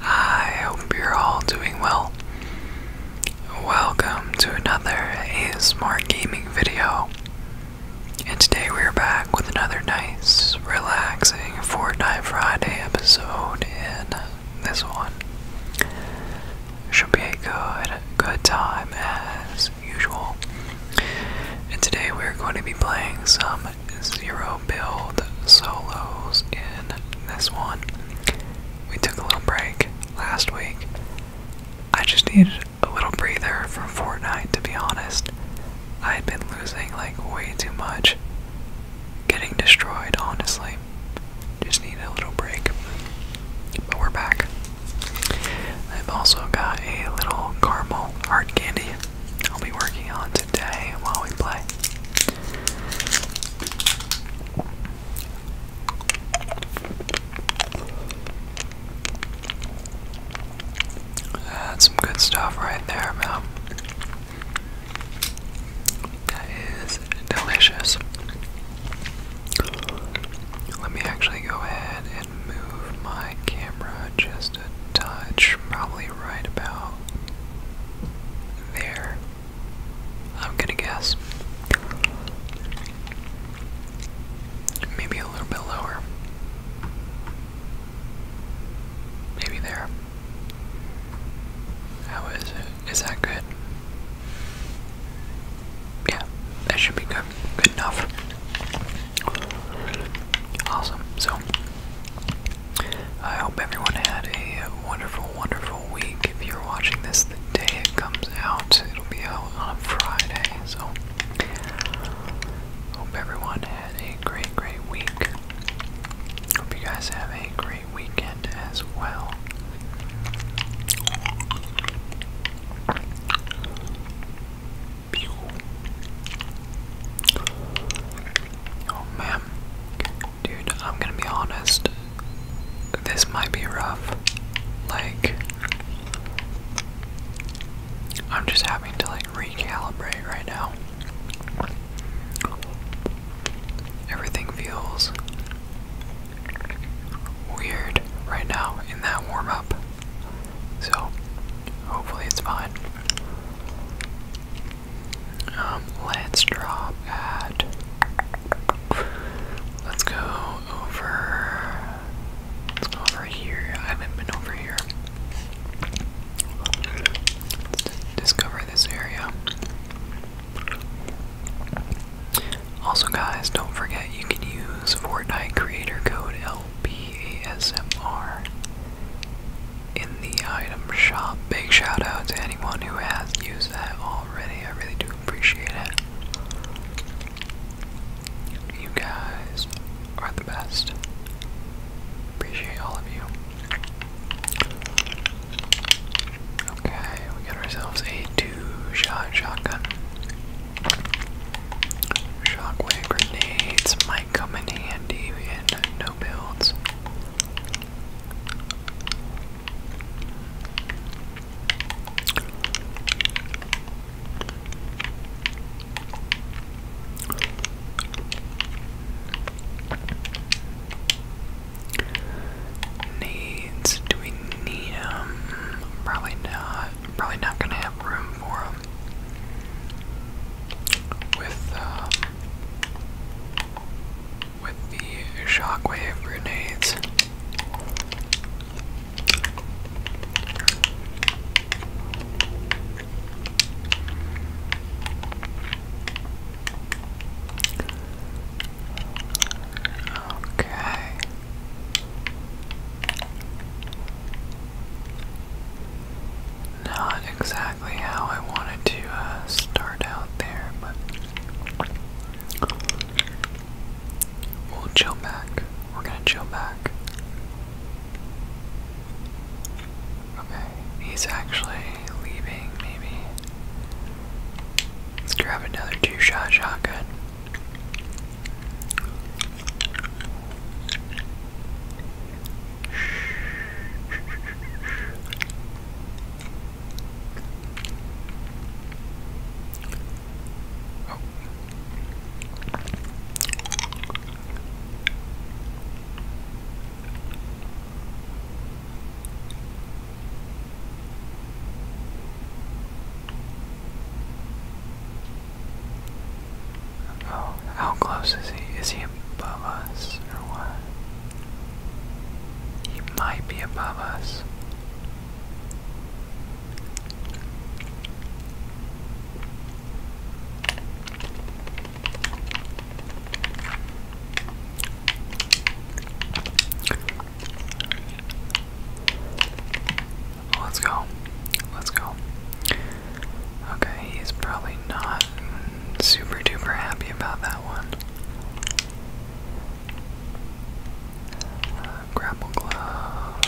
I hope you're all doing well. Welcome to another ASMR Gaming video. And today we're back with another nice, relaxing Fortnite Friday episode. In this one should be a good, good time as usual. And today we're going to be playing some zero build solos in this one we took a little break last week. I just needed a little breather from Fortnite, to be honest. I had been losing like way too much, getting destroyed, honestly. Just needed a little break. But we're back. I've also got a little caramel hard candy I'll be working on today while we play. That's some good stuff right there, man. That is delicious. Let me actually go ahead and move my camera just a touch, probably right about there. I'm gonna guess. Maybe a little bit lower. Maybe there. How is it? Is that good? Yeah, that should be good. Good enough. Awesome. So, I hope everyone had a wonderful, wonderful week. If you're watching this the day it comes out, it'll be out on Friday. So, hope everyone had a great, great week. Hope you guys have a great weekend as well. Oh man, Dude, I'm gonna be honest. This might be rough. Like, I'm just having to like recalibrate right now. Everything feels weird right now in that warm up. So, hopefully, it's fine. Um, let's drop at. Let's go over. Let's go over here. I haven't been over here. Let's discover this area. Also, guys, don't forget you can use Fortnite creator code L B A S M R in the item shop. Big shout out to anyone who has used that already. I really do appreciate it. You guys are the best. Appreciate all of you. Okay, we got ourselves a two shot shotgun. Shockwave grenades might come in handy in no builds. Needs, do we need um, Probably not. Probably not gonna have room for him. With um, with the shockwave grenades. Okay. Not exactly how I wanted to uh, start out there, but we'll chill back. We're gonna chill back. Okay, he's actually leaving, maybe. Let's grab another two shot shotgun. Oh. how close is he? Is he above us or what? He might be above us. Let's go. Let's go. Okay, he's probably not super duper happy about that one grapple glove.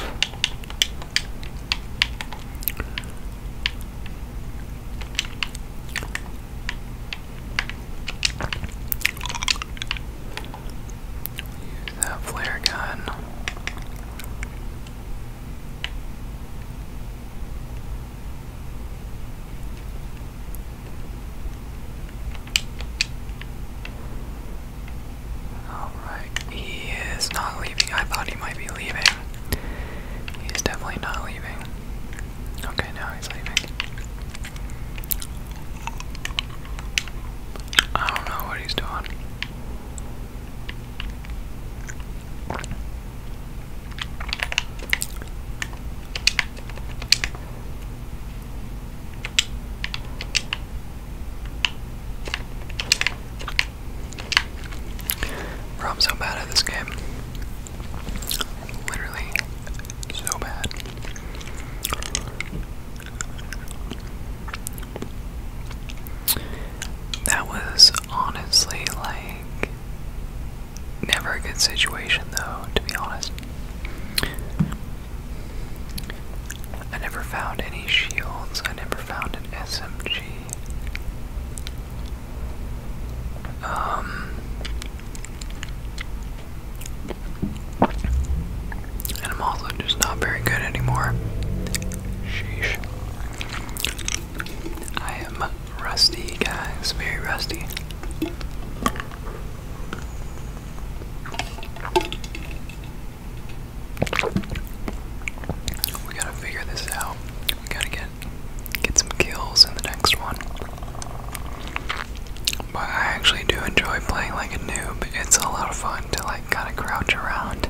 Use that flare gun. Alright, he is not leaving. I thought he might be leaving. He is definitely not leaving. Okay, now he's leaving. I don't know what he's doing. I'm so bad at this game. Literally, so bad. That was honestly like Never a good situation, though, to be honest. I never found any shields, I never found an SMG. Um, and I'm also just not very good anymore. Sheesh. I am rusty, guys, very rusty. We gotta figure this out. We gotta get get some kills in the next one. But I actually do enjoy playing like a noob. It's a lot of fun to like kind of crouch around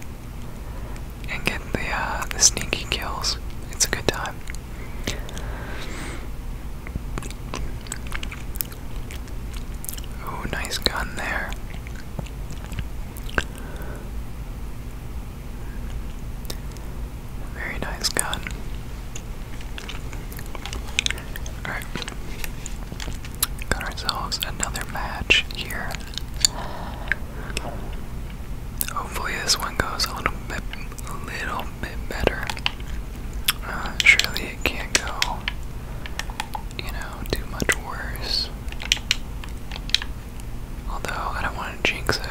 and get the uh, the sneaky kills. It's a good time. Oh, nice gun there. Very nice gun. Alright. Got ourselves another match here. Hopefully, this one goes a little bit a little bit better. Uh, surely it can't go, you know, too much worse. Although, I don't want to jinx it.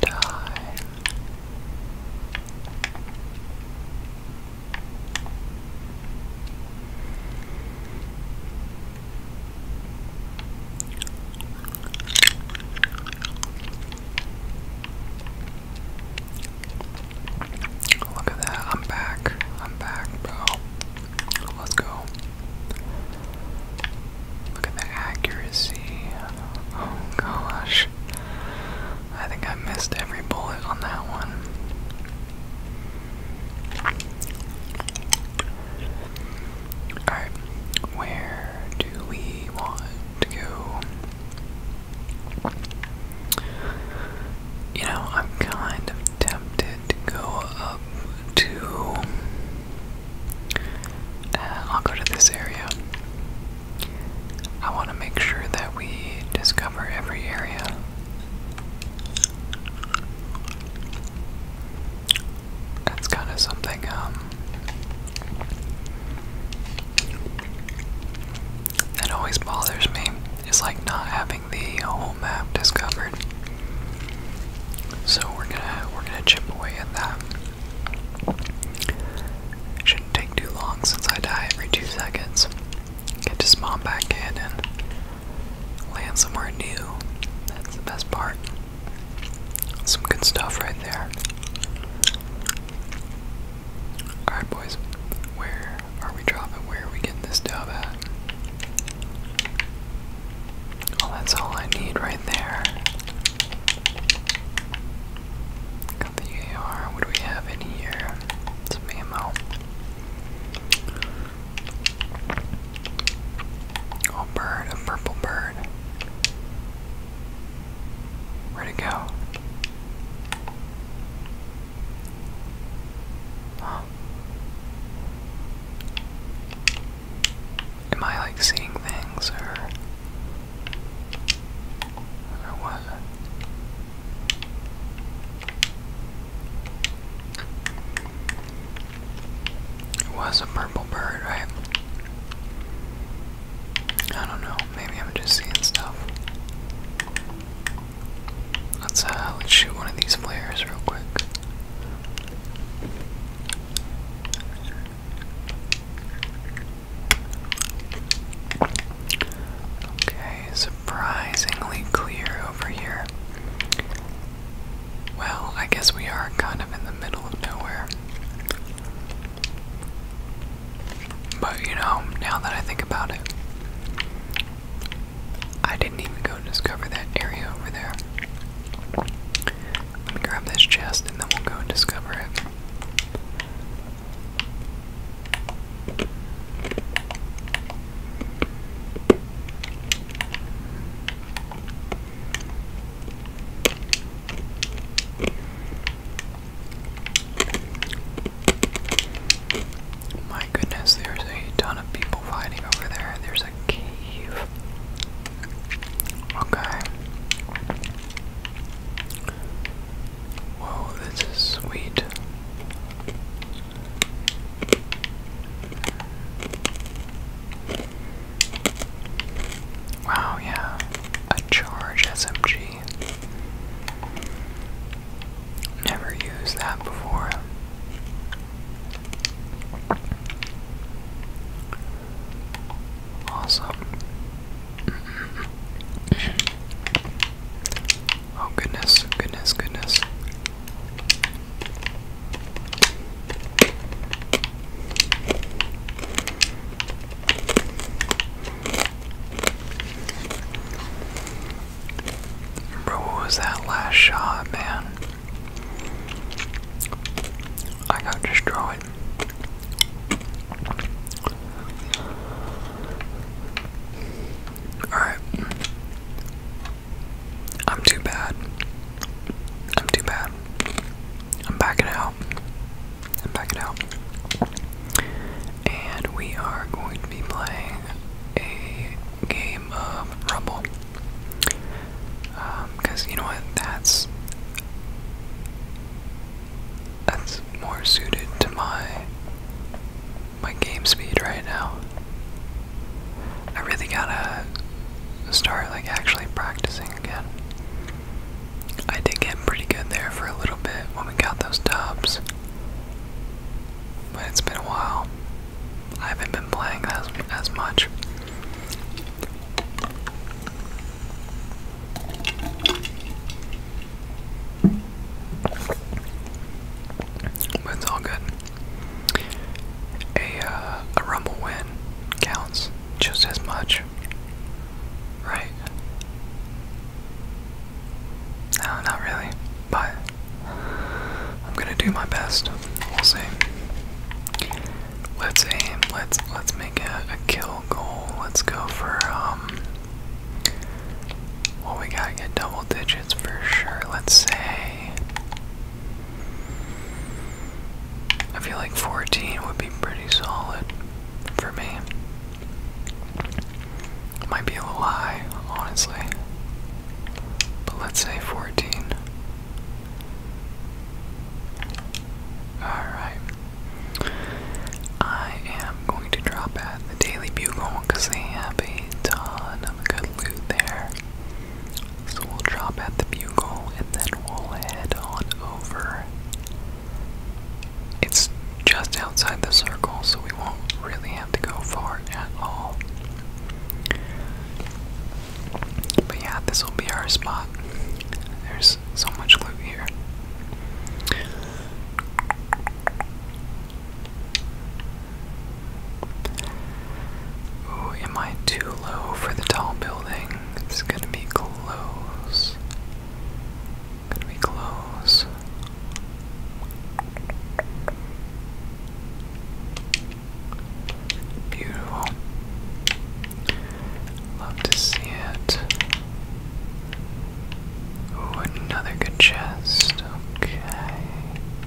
Die. Look at that, I'm back. I'm back, bro. Let's go. Look at the accuracy. Oh gosh. I think I missed every bullet on that one. Alright, where do we want to go? You know, I'm kind of tempted to go up to. Uh, I'll go to this area. I want to make sure that we discover every area that's kind of something, um, that always bothers me. It's like not having the whole map discovered. So we're gonna we're gonna chip away at that. Shouldn't take too long since I die every two seconds. Get to spawn back in and Land somewhere new. That's the best part. Some good stuff right there. Alright, boys. Where are we dropping? Where are we getting this dub at? Well, oh, that's all I need right there. Got the AR. What do we have in here? Some ammo. Oh, bird, a purple bird. Where'd it go? Am I like seeing things or, or what? It was a purple bird, right? I don't know. Maybe I'm just seeing stuff. Let's uh, shoot one of these flares real quick. Okay, surprisingly clear over here. Well, I guess we are kind of in the middle of nowhere. But you know, now that I think about it, I didn't even go discover that area over there. Let me grab this chest and then we'll go and discover it. My goodness, there's a ton of people fighting over there. There's a cave. Okay. Whoa, this is sweet. Wow, yeah. A charge SMG. Never used that before. Awesome. oh goodness, goodness, goodness. Bro, what was that last shot, man? I got destroyed. Alright. I'm too bad. I'm too bad. I'm backing out. I'm backing out. And we are going to be playing a game of Rumble. Because um, you know what? That's. That's more suited to my my game speed right now. I really gotta start like actually practicing again. I did get pretty good there for a little bit when we got those dubs. But it's been a while. I haven't been playing as as much. But it's all good a uh, a rumble win counts just as much, right? No, not really, but I'm gonna do my best. We'll see. Let's aim. Let's let's make a, a kill goal. Let's go for um. Well, we gotta get double digits for sure. Let's say I feel like 14 would be pretty solid for me. Might be a little high, honestly. But let's say 14. Alright. I am going to drop at the Daily Bugle because they have a ton of good there. So we'll drop at the bugle and then we'll head on over. It's just outside the circle, so we won't really have to go far at all. But yeah, this will be our spot. There's so much loot here. Oh, am I too low for the tall building? It's gonna be close. Gonna be close. Beautiful. Love to see it. Ooh, another good chest. Okay.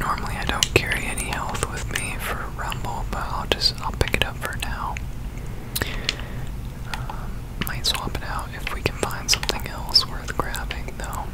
Normally I don't carry any health with me for Rumble, but I'll just I'll pick it up for now. Um, might swap it out if we can find something else worth grabbing, though.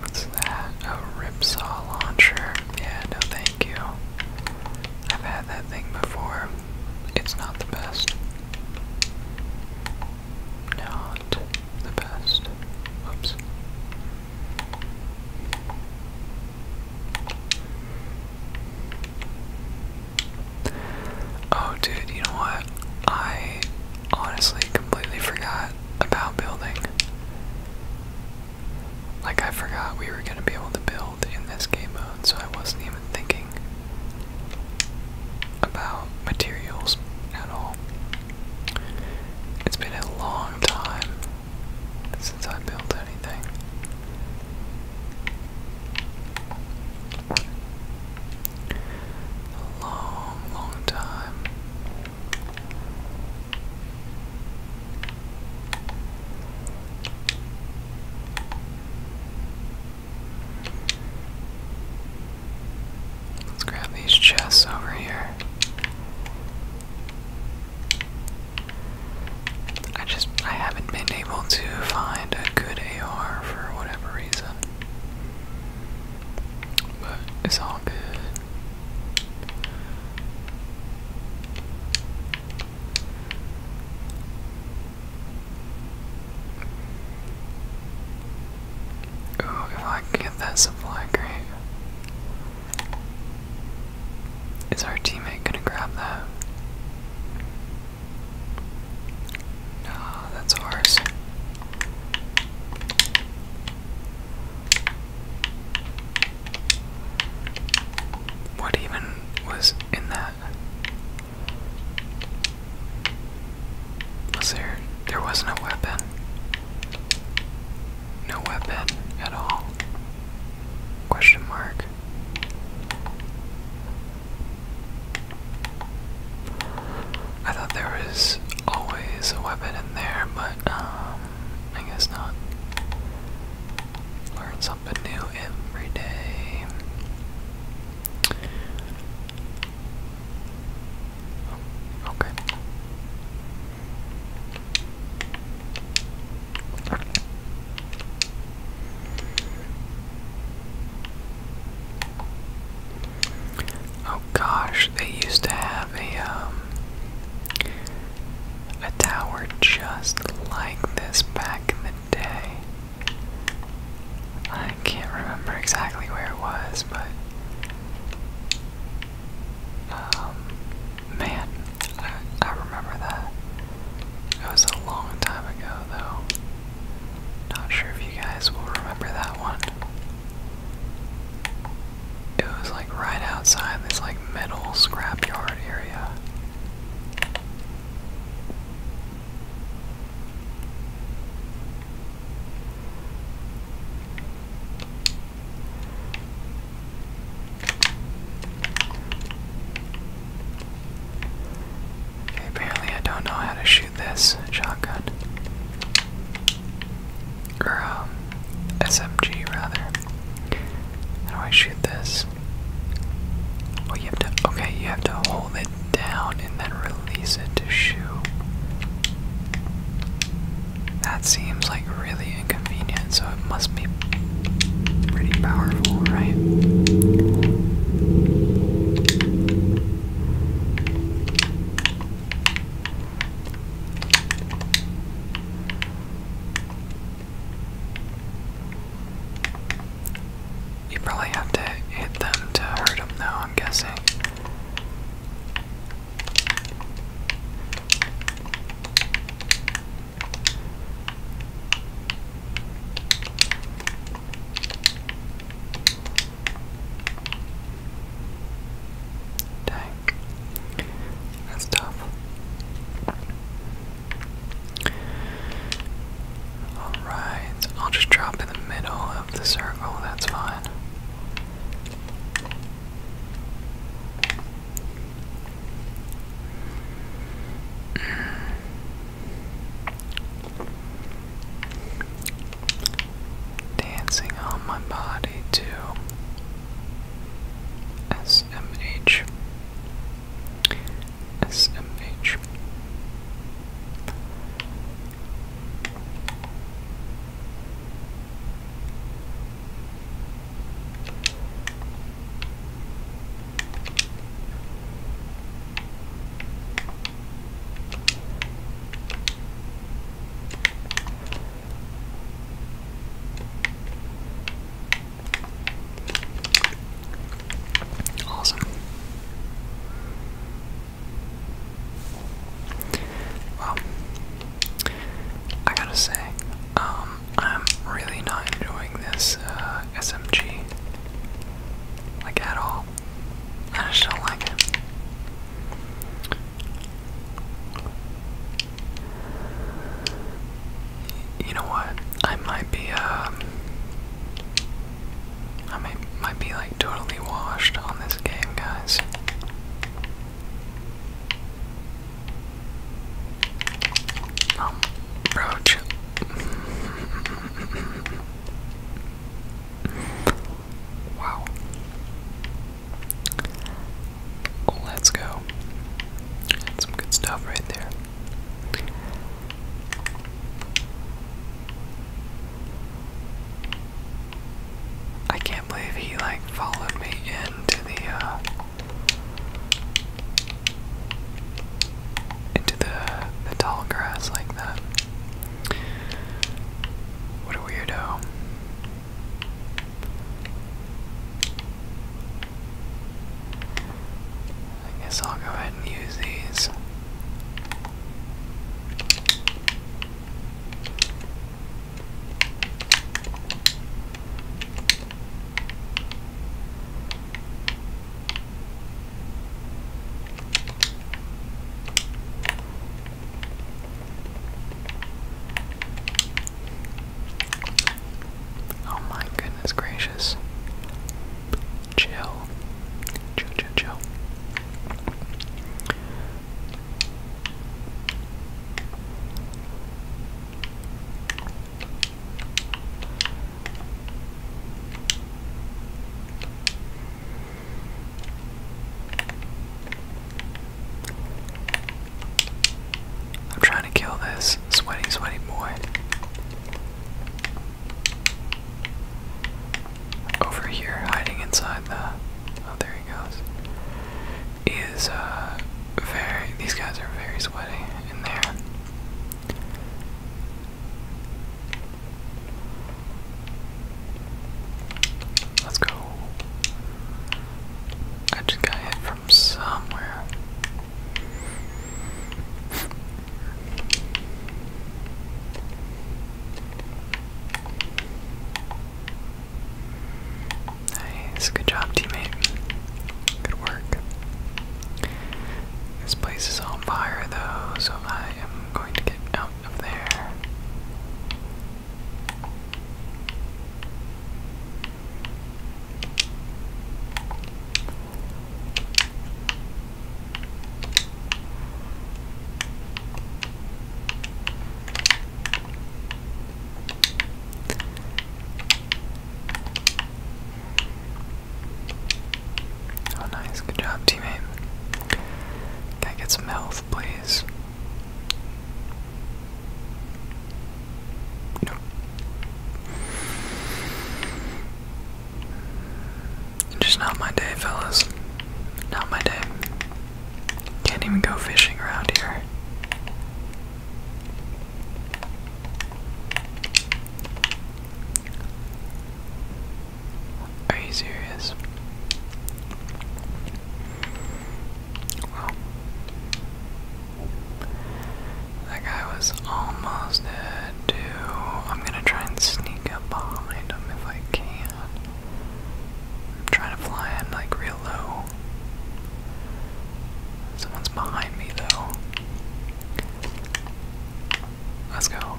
What's that? A rip saw launcher. Yeah, no thank you. I've had that thing before. It's not the best. Not the best. Whoops. Oh, dude, you know what? I honestly completely forgot about building. Like, I forgot we were gonna be able to build in this game mode, so I wasn't even thinking about materials at all. It's been a long time since I built anything. A long, long time. Let's grab these chests over here. I just I haven't been able to find a good AR for whatever reason. But it's all good. Oh, if I get that supply crate. Is our teammate gonna grab that? No, that's ours. What even was in that? Was there. There wasn't a weapon. No weapon at all. Question mark. I thought there was always a weapon in there, but um, I guess not. Learn something new every day. Oh, Oh, gosh, they used to have a um, a tower just like this back in the day. I can't remember exactly where it was, but um, man, I, I remember that. It was a long time ago, though. Not sure if you guys will remember that one. It was like right outside this like metal scrapyard area. apparently I don't know how to shoot this shotgun. Or, um, SMG rather. How do I shoot this? Oh, you have to. Okay, you have to hold it down and then release it to shoot. That seems like really inconvenient, so it must be pretty powerful, right? You probably have to hit them to hurt them, though, I'm guessing. Dang. That's tough. Alright, I'll just drop in the middle of the circle, that's fine. Dancing on my body too. SMH. SMH. Awesome. Well, I gotta say, um, I'm really not enjoying this uh, SMG, like at all. I just don't like it. You know what? I might be um I might might be like totally washed on this game, guys. Um, Wow. Let's go. some good stuff right there. I can't believe he like followed me into the uh, into the tall grass like that. What a weirdo. I guess I'll go ahead and use these. Oh my goodness gracious. Chill. Chill, chill, chill. I'm trying to kill this sweaty, sweaty boy. Over here, hiding inside the. Oh, there he goes. Is uh very. These guys are very sweaty in there. Let's go. I just got hit from somewhere. nice, good job, teammate. Good work. This place is on fire, though, so I am going to get out up there. Oh, nice. Good job, teammate. Can not get some health, please? No. Just not my day, fellas. Not my day. Can't even go fishing around here. Are you serious? Well, that guy was almost dead, I'm gonna try and sneak up behind him if I can. I'm trying to fly in like real low. Someone's behind me, though. Let's go.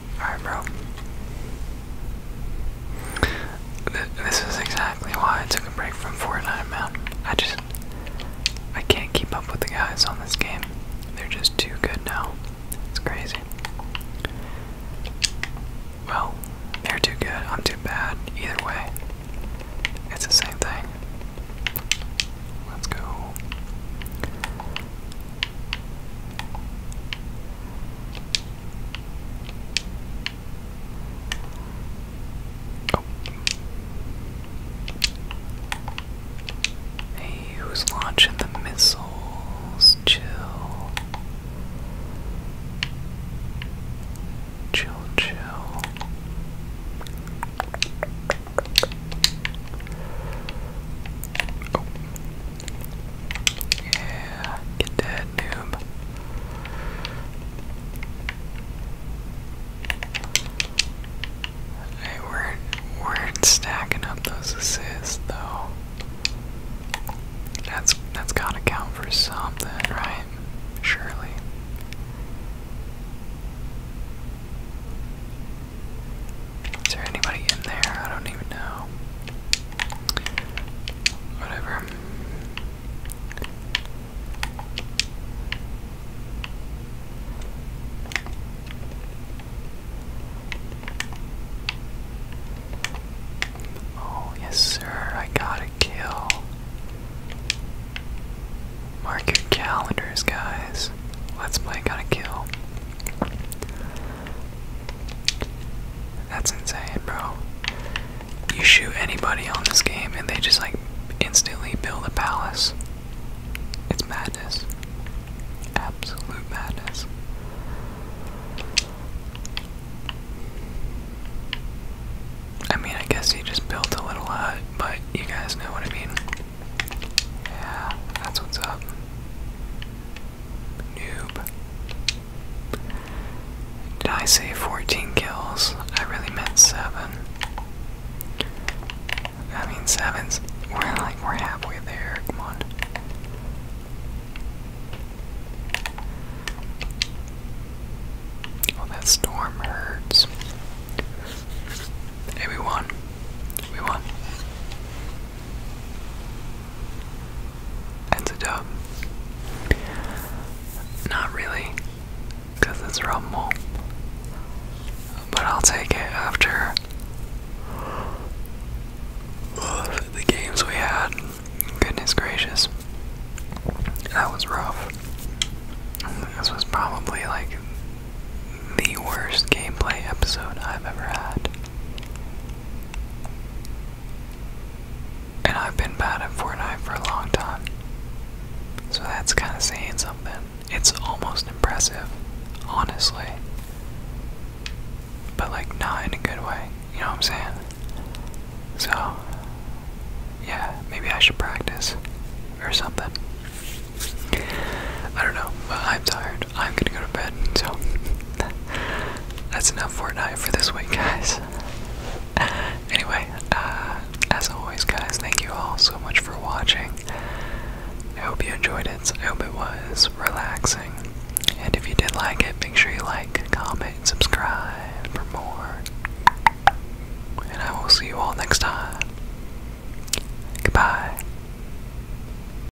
Alright, bro. this is exactly why I took a break from Fortnite, man. I just. I can't keep up with the guys on this game. They're just too good now. It's crazy. Well, they're too good. I'm too bad. Either way, it's the same thing. Let's go. Oh. Hey, who's launching the missiles? Chill. Chill, chill. Yeah, get that noob. Hey, we're weren't stacking up those assists though. That's that's gotta count for something, right? Surely. Is there anybody in there? I don't even know. Oh, yes, sir, I got a kill. Mark your calendars, guys. Let's play, got a kill. That's insane, bro. You shoot anybody on this game and they just like instantly build a palace. It's madness. Absolute madness. I mean, I guess he just built a little hut, but you guys know what I mean. Yeah, that's what's up. Noob. Did I say 14 kills? I really meant 7. I mean, 7's. We're like, we're halfway there. Come on. Well, oh, that storm hurts. Hey, we won. We won. It's a dub. Not really, because it's Rumble. But I'll take it after the games we had. Goodness gracious. That was rough. This was probably like the worst gameplay episode I've ever had. And I've been bad at Fortnite for a long time. So that's kind of saying something. It's almost impressive, honestly. But, like, not in a good way. You know what I'm saying? So, yeah, maybe I should practice or something. I don't know, but I'm tired. I'm gonna go to bed. So that's enough for tonight for this week, guys. Anyway, uh, as always, guys, thank you all so much for watching. I hope you enjoyed it. I hope it was relaxing. And if you did like it, make sure you like, comment, subscribe for more. And I will see you all next time. Goodbye.